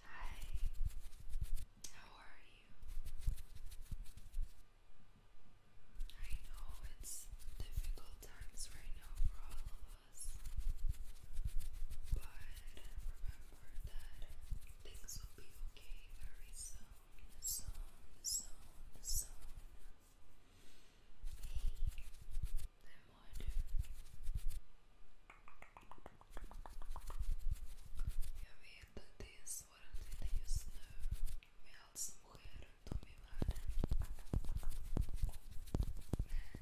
Hi, how are you? I know it's difficult times right now for all of us, but remember that things will be okay very soon zone, zone, zone. Heat and water. Jag vet att det är svårt just nu med allt som sker runt om i världen. Men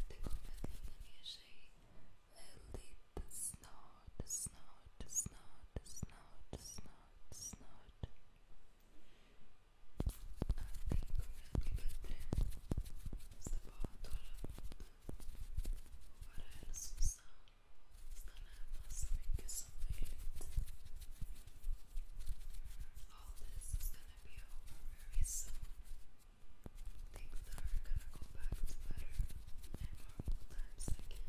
det kommer att lugna ner sig väldigt snart, snart, snart, snart, snart, snart amarelo, Assunção, Stanley, nossa amiga Samuel. All this is gonna be over very soon. Things are gonna go back to better and normal times again.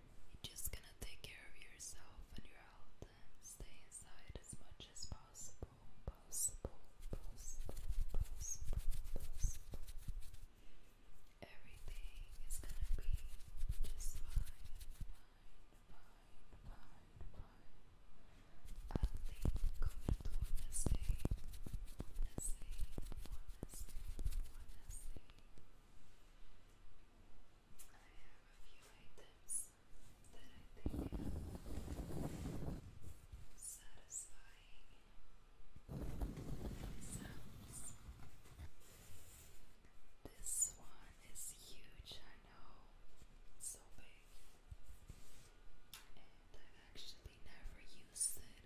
You're just gonna take care of yourself and your health and stay inside as much as possible. Possible, possible, possible, possible. Everything is gonna be just fine, fine, fine, fine, fine. I think I have a few items that I think have satisfying This one is huge, I know, so big, and I've actually never used it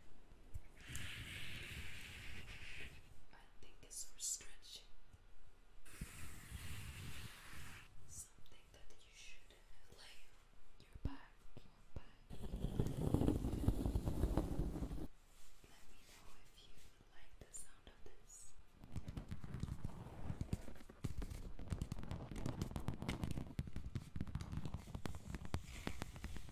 but I think it's stretching. Something that you should lay your back. Your back. Let me know if you like the sound of this.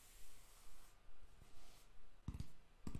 Everything will be okay.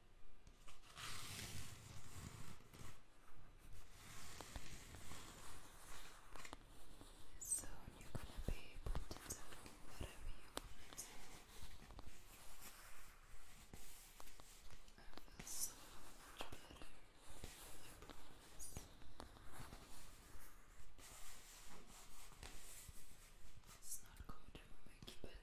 So you're gonna be able to do whatever you want I feel so much better. It's not going to make you better.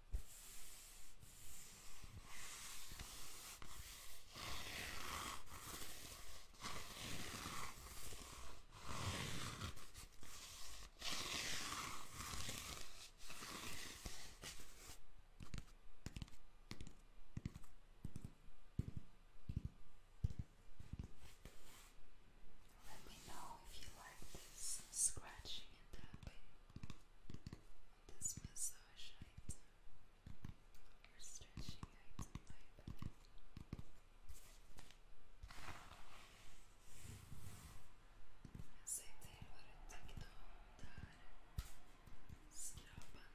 Let me know if you like this scratching and tapping. This massage item or stretching item I bet. Aceitei agora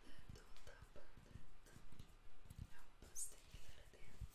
tem que montar Será a bandeta ou tá a bandeta? É o pastel que era dentro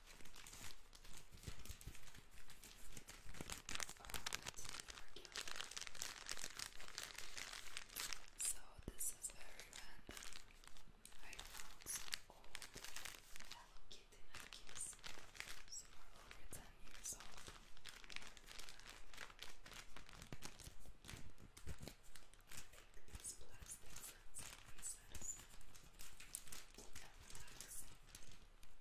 So this is very random. I found some old Hello Kitty Nikes. Some are over ten years old. Take these plastic sets and pieces. And relax. Relax.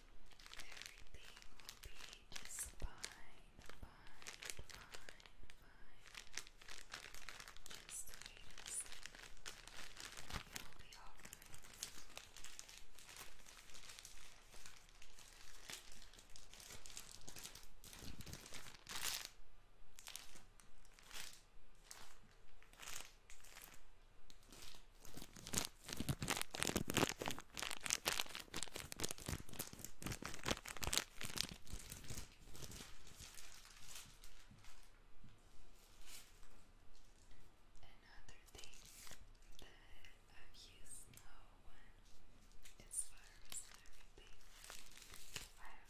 Everything will be just fine, fine, fine, fine. Just wait It will be alright. Another thing that I've used now virus everything, I have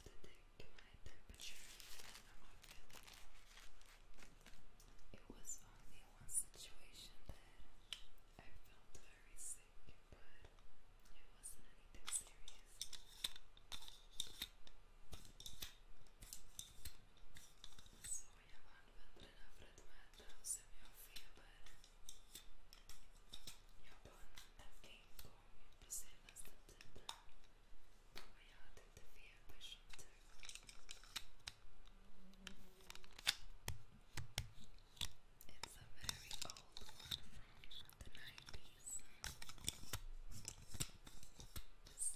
to take my temperature and I'm not feeling well. It was only one situation that I felt very sick, but it wasn't anything serious. Szóljában vendelen Fredmáta személy a félben. Japán elkénkon beszélmeztetett a játék a félbe sem tök. It's a very old one from the 90s. It's still working though. It's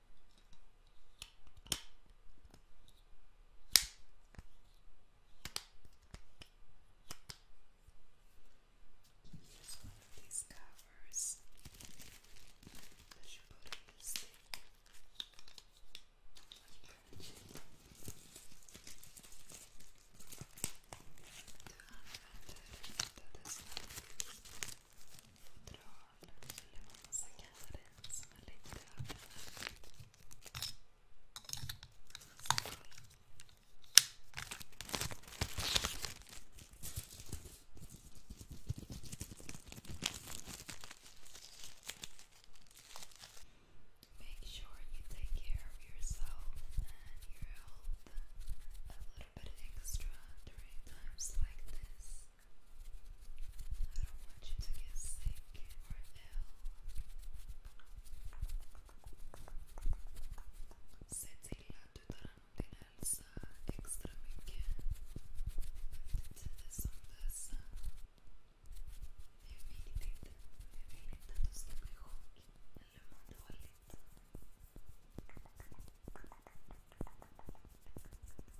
Here's one of these covers. I should put it in this thing. The unwanted, that is not fodral Make sure you take care of yourself and your health a little bit extra during times like this. I don't want you to get sick or ill. Senti il lato di alza extra weekend. I did this on this. They really did. They really did. Tanto sta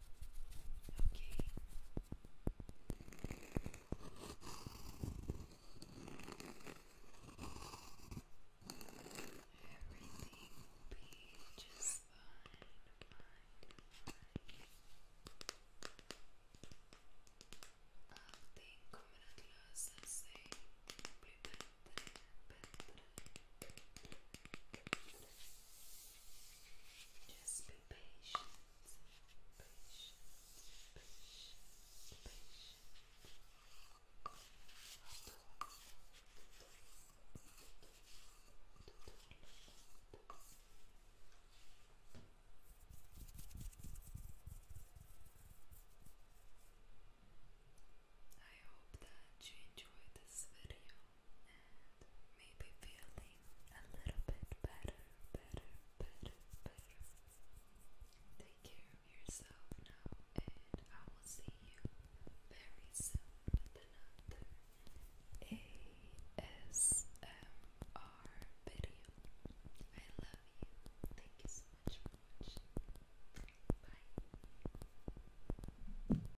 Okay. Everything will be just fine, I think Cominatlas and say will be better, better. Just be patient, I hope that you enjoyed this video maybe feeling a little bit better, better, better, better. Take care of yourself now, and I will see you very soon with another ASMR video. I love you. Thank you so much Bye.